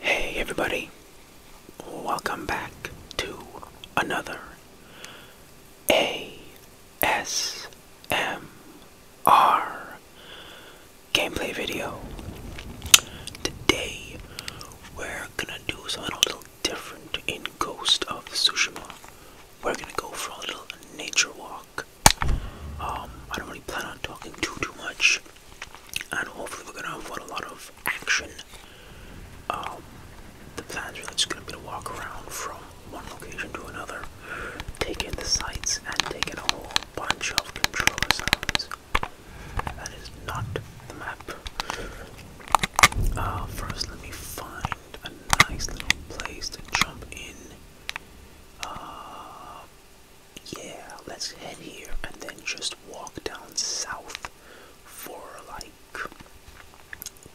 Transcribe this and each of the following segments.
Hey everybody, welcome back to another ASM ASMR gameplay video. Today we're we're gonna do something a little different in Ghost of Tsushima. We're gonna go for a little nature walk. Um, I don't really plan on talking too too much, and hopefully we're gonna have a lot of action. Um, the plan is just gonna be to walk around from one location to another, take in the sights, and take in a whole bunch of controller sounds that is not the map. Uh, first, let me find a nice little place to jump in. Uh, yeah, let's head here and then just walk down south for like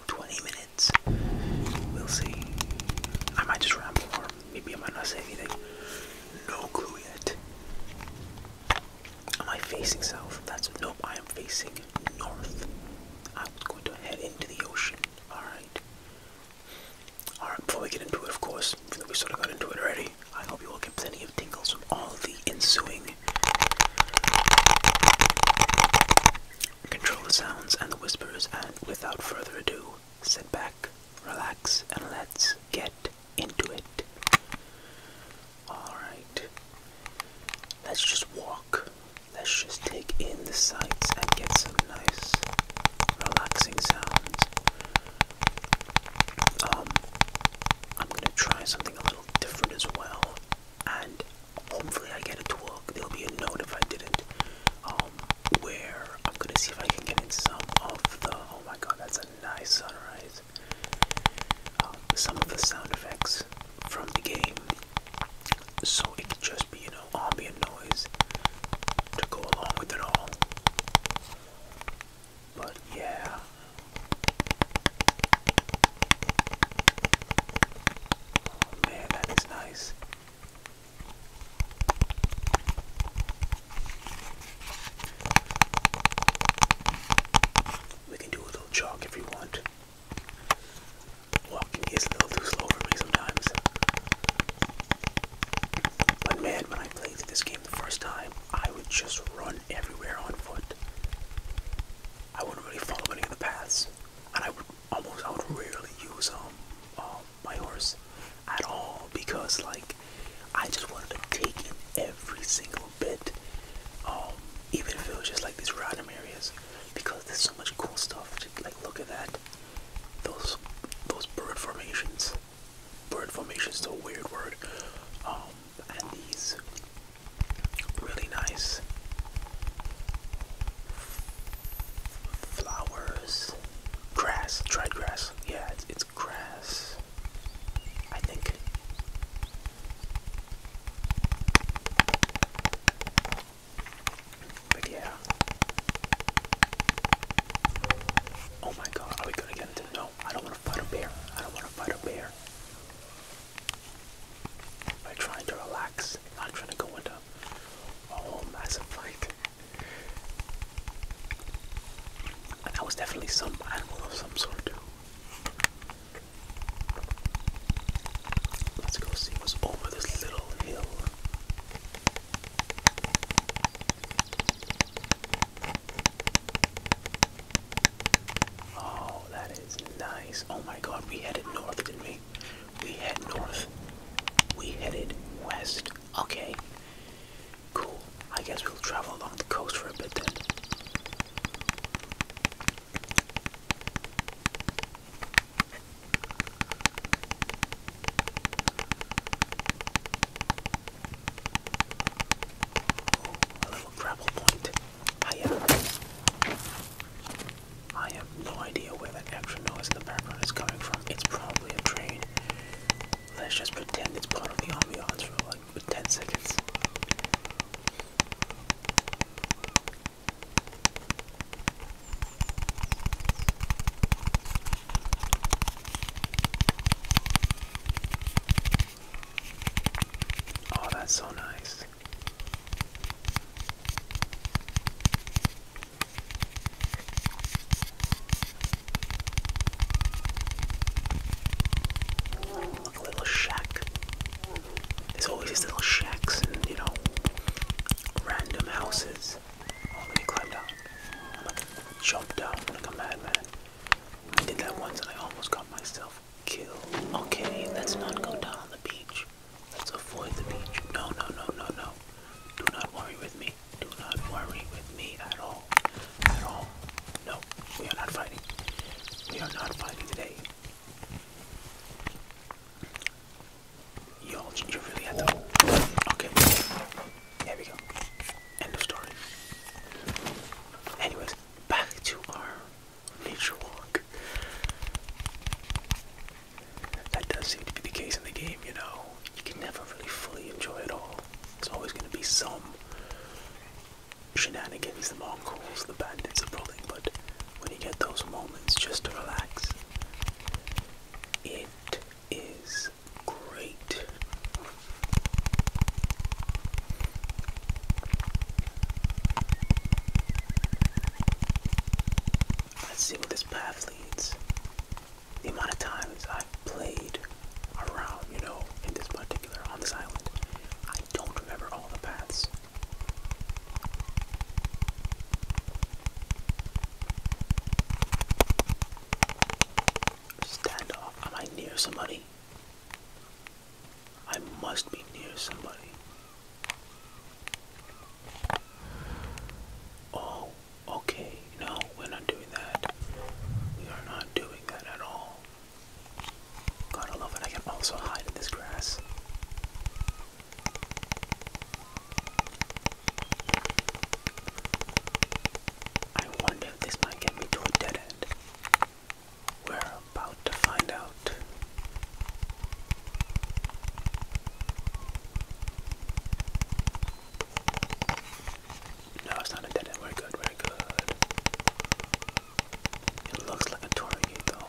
20 minutes. We'll see. I might just ramble, or maybe I might not say anything. No clue yet. Am I facing south? That's nope, I am facing north. I'm going to head into the ocean. Alright. Alright, before we get into it, of course, even though we sort of got into it already, I hope you all get plenty of tingles from all the ensuing control the sounds and the whispers, and without further ado, sit back, relax, and let's get into it. Alright. Let's just walk. Let's just take in the sights and get some nice relaxing sounds. Um I'm gonna try something a little different as well and hopefully I get a to There'll be a note if I didn't. Um where I'm gonna see if I can get in some of the oh my god that's a nice sunrise. Um, some of the sound effects from the game, so it could just be you know ambient noise to go along with it all. But yeah. Oh, man, that is nice. We can do a little chalk if you want. Walking is a little too slow for me sometimes. But man, when I played this game the first time, I would just run everywhere on foot. I wouldn't really follow any of the paths, and I would almost I would rarely use um, um my horse at all because like I just wanted to take in every single bit, um, even if it was just like these random areas, because there's so much cool stuff. Just like look at that, those those bird formations. Bird formations is a weird word, um, and these really nice flowers, grass, dried grass. Yeah, it's grass. I think. yeah. Oh my god, are we gonna get into no, I don't wanna fight a bear. I don't wanna fight a bear. We're trying to relax, not trying to go into a whole massive fight that was definitely some animal of some sort. Let's go see what's over this little hill. Oh, that is nice. Oh my god, we headed north, didn't we? We headed north. We headed west. Okay. Cool. I guess we'll travel along the coast for a bit then. Oh, a little gravel point. I am. I have no idea where that extra noise in the background is coming from. It's probably a train. Let's just pretend it's part of the ambiance for like 10 seconds. Oh, that's so nice. Like little shack. There's always these little shacks and you know random houses. Oh, let me climb down. I'm like jump down like a madman. I did that once and I almost got myself killed. Okay, let's not go down on the beach. Let's avoid the beach. No, no, no, no, no. Do not worry with me. Do not worry with me at all. At all. No, we are not fighting. We are not fighting today. Y'all, you really have to. Okay. There we go. End of story. Anyways, back to our nature walk. That does seem to be the case in the game, you know you can never really fully enjoy it all. There's always going to be some shenanigans, the Mongols, the bandits are pulling, but when you get those moments just to relax, it is great. Let's see where this path leads the amount of times i played around, you know, in this particular, on this island, I don't remember all the paths. Standoff. Am I near somebody? I must be near somebody. Oh, okay, no, we're not doing that. We are not doing that at all. Gotta love it. I can also hide in this grass. I wonder if this might get me to a dead end. We're about to find out. No, it's not a dead end. We're good, we're good. It looks like a touring though.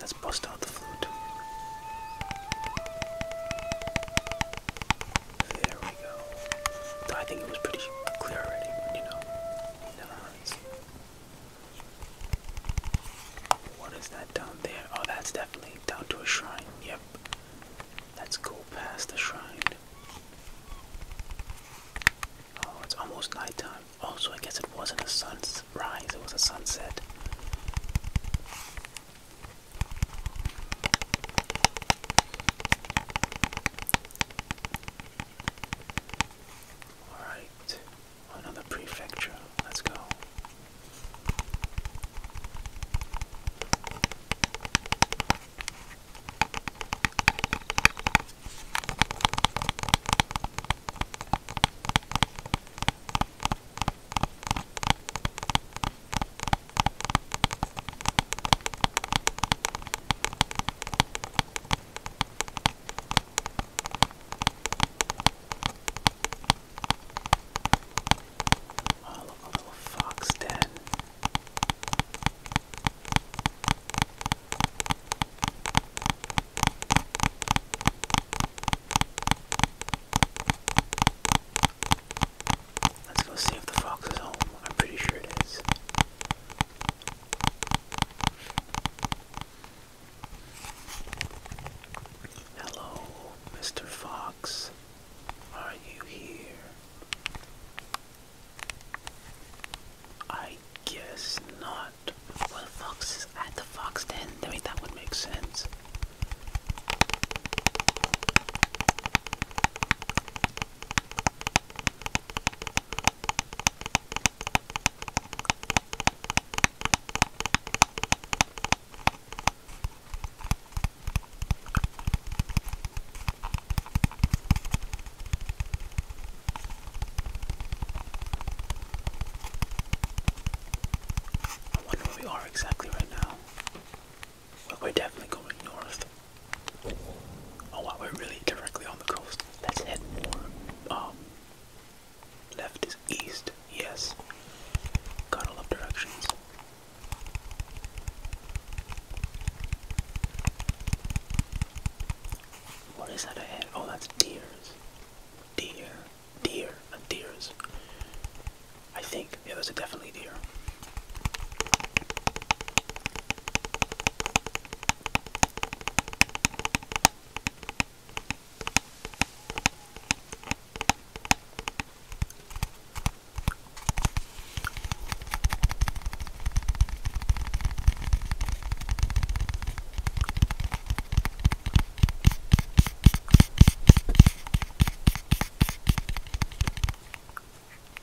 Let's bust out the flute. There we go. I think it was pretty clear already, you know, never minds. What is that down there? Oh, that's definitely down to a shrine. Yep. Let's go past the shrine. Oh, it's almost nighttime. Oh, so I guess it wasn't a sunrise, it was a sunset. Alright, another prefecture. Let's go. Oh, look, a little fox den. Let's go see if the fox is home. I'm pretty sure it is. Hello, Mr. Fox. Are you here? I guess not. Well, the fox is at the fox den. I mean, that would make sense. I wonder where we are exactly right now. Well, we're definitely going north. Oh wow, we're really directly on the coast. Let's head more. Um, left is east. Yes. Gotta love directions. What is that ahead? Oh, that's deers. Deer deer, not deers. I think, yeah, those a definitely deer.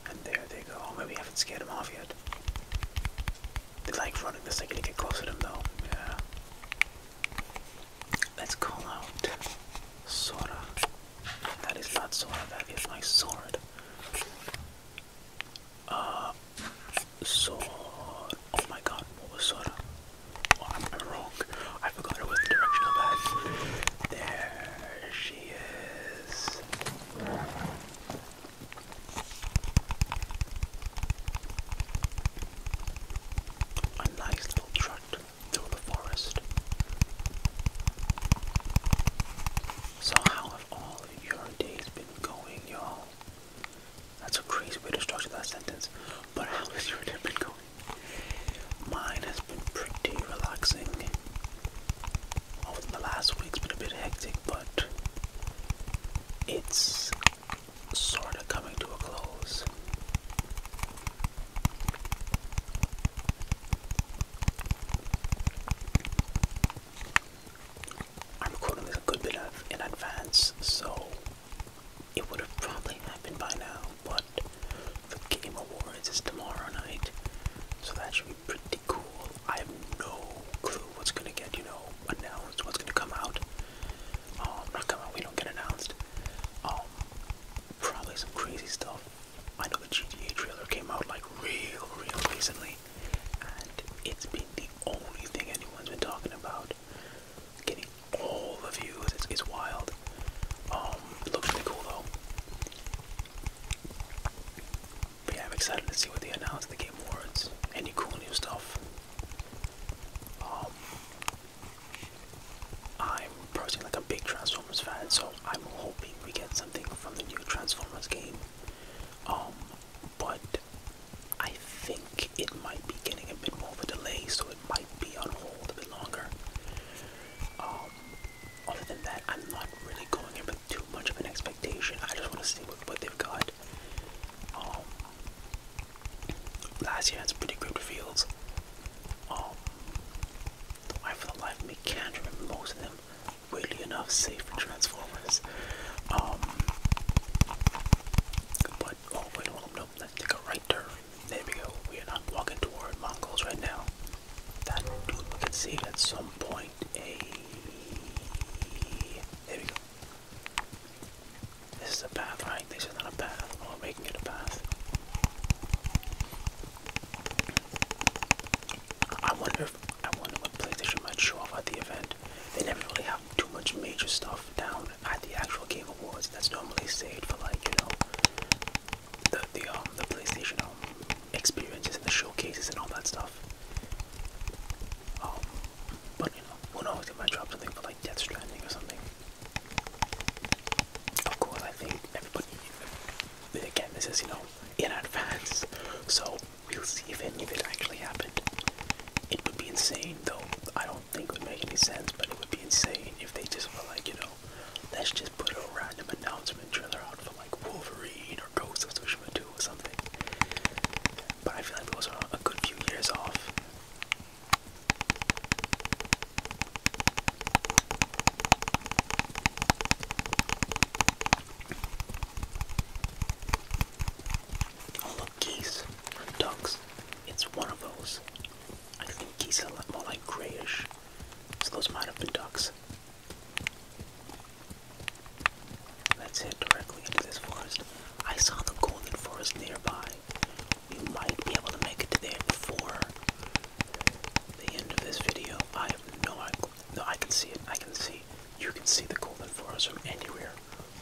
And there they go. Oh, maybe I haven't scared them off yet. They like running the second you get close to them, though. Yeah. Let's call out Sora. That is not Sora, that is my sword. Uh, sword. Oh my god, what was Sora? I'm, wrong. I forgot it was the direction of that. There she is. A nice little trot through the forest. So how have all your days been going, y'all? That's a crazy way to structure that sentence. But how is your day been going? Mine has been pretty relaxing. Over the last week's been a bit hectic, but it's sort of coming to a close. I'm recording this a good bit of in advance, so it would have probably happened by now, but the Game Awards is tomorrow night, so that should be pretty cool. I have no clue what's gonna get, you know, announced, what's gonna come out. Um, not coming out, we don't get announced. Um, probably some crazy stuff. I know the GTA trailer came out like real, real recently, and it's been the only thing anyone's been talking about. Getting all the views its wild. Um, it looks really cool though. yeah, I'm excited to see what they announce at the Game Awards. Any cool new stuff. Um, I'm personally like a big Transformers fan, so I'm hoping we get something from the new Transformers game. Um, but I think it might be getting a bit more of a delay, so it might be on hold a bit longer. Um, other than that, I'm not really going in with too much of an expectation. I just want to see what, they've got. Um, last year had some pretty good reveals. The um, life of the life of me, can't remember most of them. Weirdly enough, save for Transformers. but oh wait, hold on, Let's take a right turn. There we go. We are not walking toward Mongols right now. That dude we can see at some point a there we go. This is a path, right? This is not a path. Oh, we're making it a path. I wonder if I wonder what PlayStation might show off at the event. They never really have too much major stuff down at the actual Game Awards. That's normally saved for like you know the the um the PlayStation um experiences and the showcases and all that stuff. Um, but you know, who knows? It my job, something for like Death Stranding or something. Of course, I think everybody. Again, this is you know in advance, so we'll see if any of it actually happened. It would be insane, though. I don't I don't think would make any sense, but it would be insane if they just were like, you know, let's just put a random announcement trailer out for like Wolverine or Ghost of Tsushima 2 or something. But I feel like those was a good few years off. Oh, look, geese ducks. It's one of those. I think geese are more like grayish, so those might have been ducks. Let's head directly into this forest. I saw the golden forest nearby. We might be able to make it to there before the end of this video. I have no idea. No, I can see it. I can see. You can see the golden forest from anywhere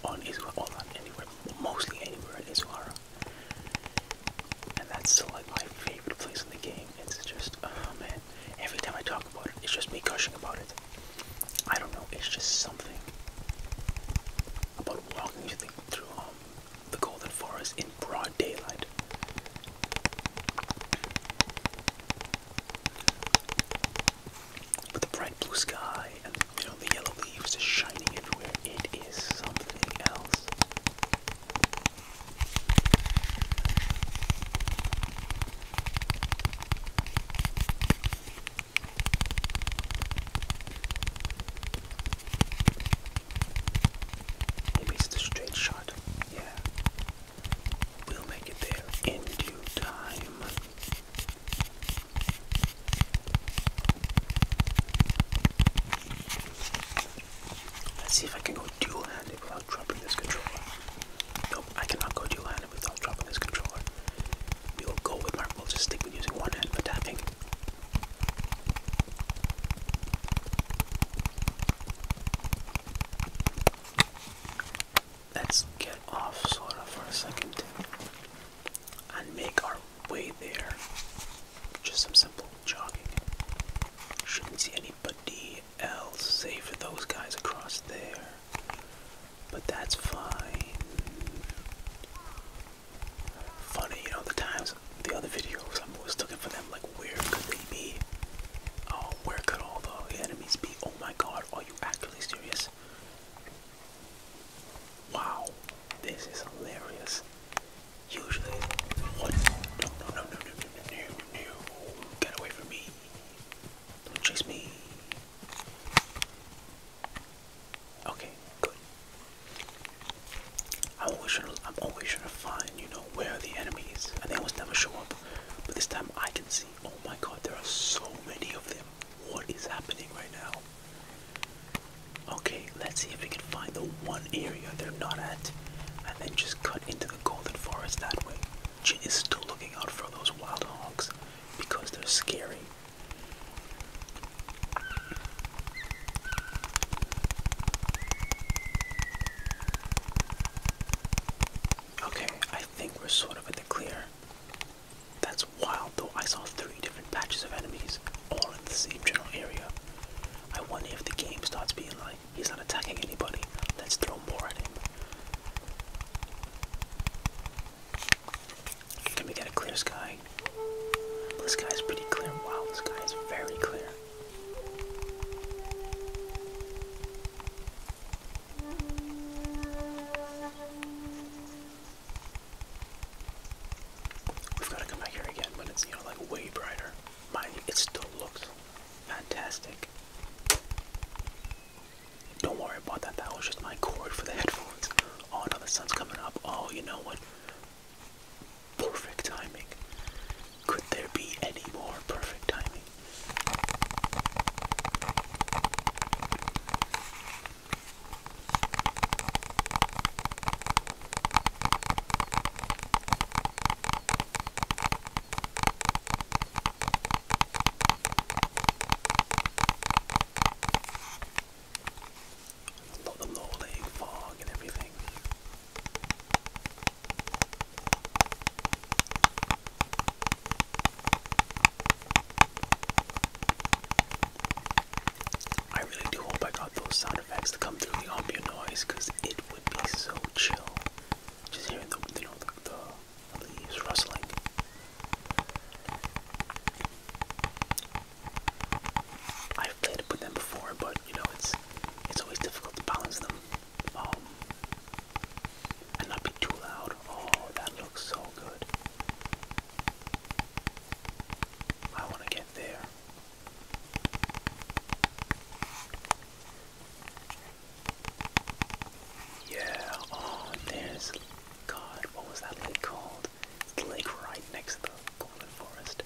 on Izuhara, well anywhere, mostly anywhere in Izuhara. And that's still like my favorite place in the game. It's just, oh man, every time I talk about it, it's just me gushing about it. I don't know, it's just something about walking through, um, the Golden Forest in broad daylight. With the bright blue sky and you know the yellow leaves just shining everywhere. It is something else. Maybe it's the straight shot. Yeah. We'll make it there in due time. Let's see if I can go dual-handed without dropping this controller. Nope, I cannot go dual-handed without dropping this controller. We will go with my just stick with using one hand for tapping let's get off Sora for a second and make our way there. Just some simple jogging. Shouldn't see anybody else save for those guys across there. But that's fine. Funny, you know, the times, the other videos, I'm always looking for them, like, where could they be? Oh, where could all the enemies be? Oh my god, are you actually serious? Wow, this is hilarious. Usually, what? No, no, no, no, no, no, no, no, get away from me. Don't chase me. Okay, good. I'm always trying to, find, you know, where the enemy is, and they almost never show up. But this time I can see. Oh my God, there are so many of them. What is happening right now? Okay, let's see if we can find the one area they're not at and then just cut into the golden forest that way. Jin is still looking out for those wild hogs because they're scary. Okay, I think we're sort of in the clear. That's wild though, I saw three different patches of enemies, all in the same general area. I wonder if the game starts being like, he's not attacking anybody, let's throw more at him. Can we get a clear sky? This guy's pretty clear. Wow, this guy is very clear. We've got to come back here again when it's, like way brighter. Mind it still looks fantastic. Don't worry about that, that was just my cord for the headphones. Oh no, the sun's coming up. Oh, you know what? Perfect timing. Could there be any more perfect timing? A lot of low-laying fog and everything. I really do hope I got those sound effects to come through the ambient noise because it would be so chill just hearing the, you know, the, leaves rustling. I've played with them before, but you know it's it's always difficult to balance them. Um, and not be too loud. Oh, that looks so good. I want to get there. Yeah, oh, there's, God, what was that lake called? It's the lake right next to the Golden Forest.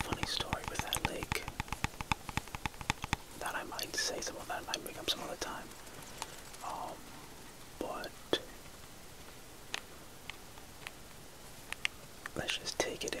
Funny story with that lake that I might say some that I might bring up some other time. Um, but let's just take it in.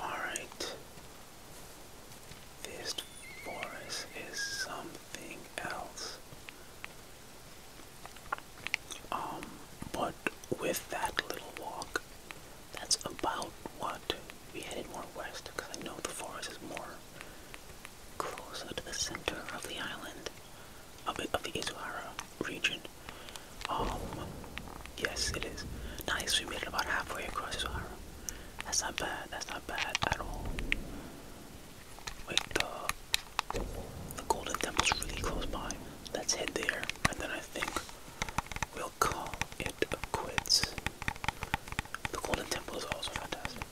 Alright. This forest is something else. Um, but with that little walk, that's about what we headed more west because I know the forest is more closer to the center of the island, of the, of the Izuhara region. Um, yes, it is. Nice, we made it about halfway across Sahara. That's not bad, that's not bad at all. Wait, the, Golden Temple's really close by. Let's head there, and then I think we'll call it quits. The Golden Temple is also fantastic.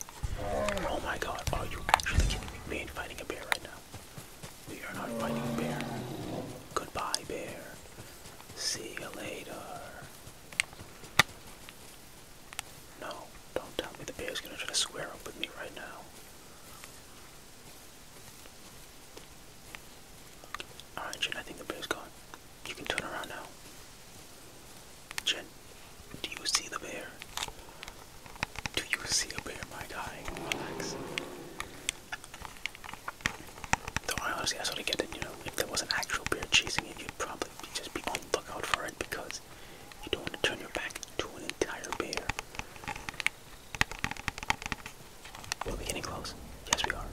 Oh my god, are you actually kidding me? We ain't fighting a bear right now. We are not fighting bear. Goodbye, bear. See you later. No, don't tell me the bear's gonna try to square up with me right now. Alright, Jen, I think the bear's gone. You can turn around now. Jen, do you see the bear? Do you see a bear, my guy? Relax. Though I honestly, I if there was an actual bear chasing you, you'd probably just be on the lookout for it because you don't want to turn your back to an entire bear. We'll be getting close. Yes, we are.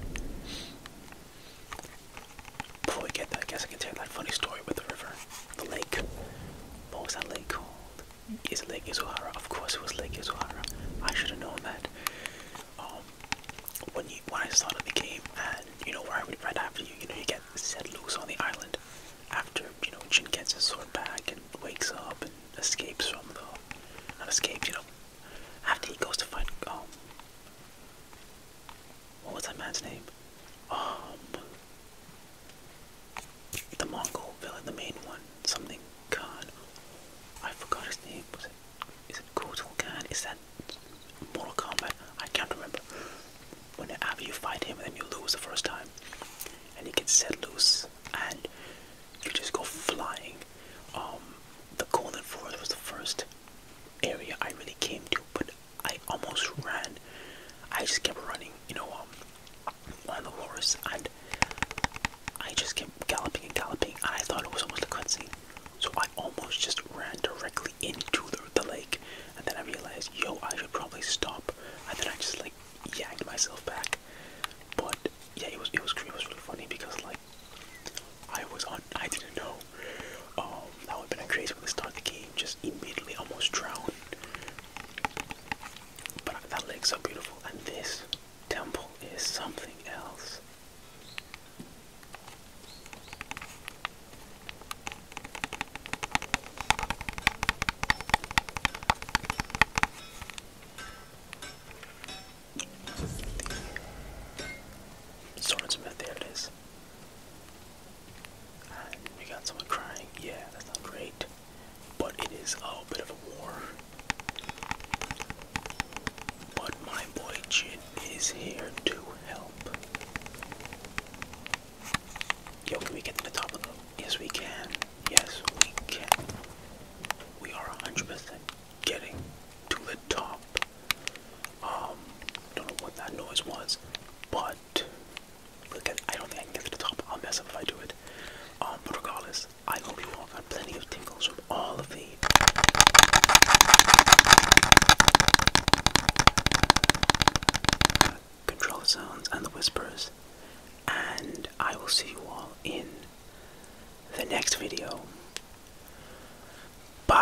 Before we get there, I guess I can tell you that funny story with the river, the lake. What was that lake called? is Lake Izuhara. Of course, it was Lake Izuhara. I should have known that. Um, when you when I started the game, and you know where I would right after you, you know, you get set loose on the island. After you know, Shin gets his sword back and wakes up and escapes from the not escapes, you know. After he goes to find um, what was that man's name? Um, the Mongol villain, the main one, something Khan. I forgot his name. Was it? Is it Kotal Khan? Is that Mortal Kombat? I can't remember. Whenever you fight him, then you lose the first time, and he gets set loose, and you just go flying. Um, the Golden Forest was the first area I really came to, but I almost ran. I just kept running. You know, um, on the horse, and I just kept galloping and galloping, and I thought it was almost a cutscene. So I almost just ran directly into the, the lake, and then I realized, yo, I should probably stop, and then I just like yanked myself back. But yeah, it was it was it was really funny because like I was on, I didn't know. Um, that would have been a crazy way to start the game, just immediately almost drowned. But that lake's so beautiful, and this temple is something else. The there it is. we uh, got someone crying. Yeah, that's not great but it is a bit of a war. But my boy Jin is here to help. Yo, can we get to the top of Yes, we can. Yes, we can. We are 100% getting to the top. Um, don't know what that noise was, but look I don't think I can get to the top. I'll mess up if I do it. Um, but regardless, yes, I will be walking plenty of tingles from all of these. Control sounds and the whispers, and I will see you all in the next video. Bye.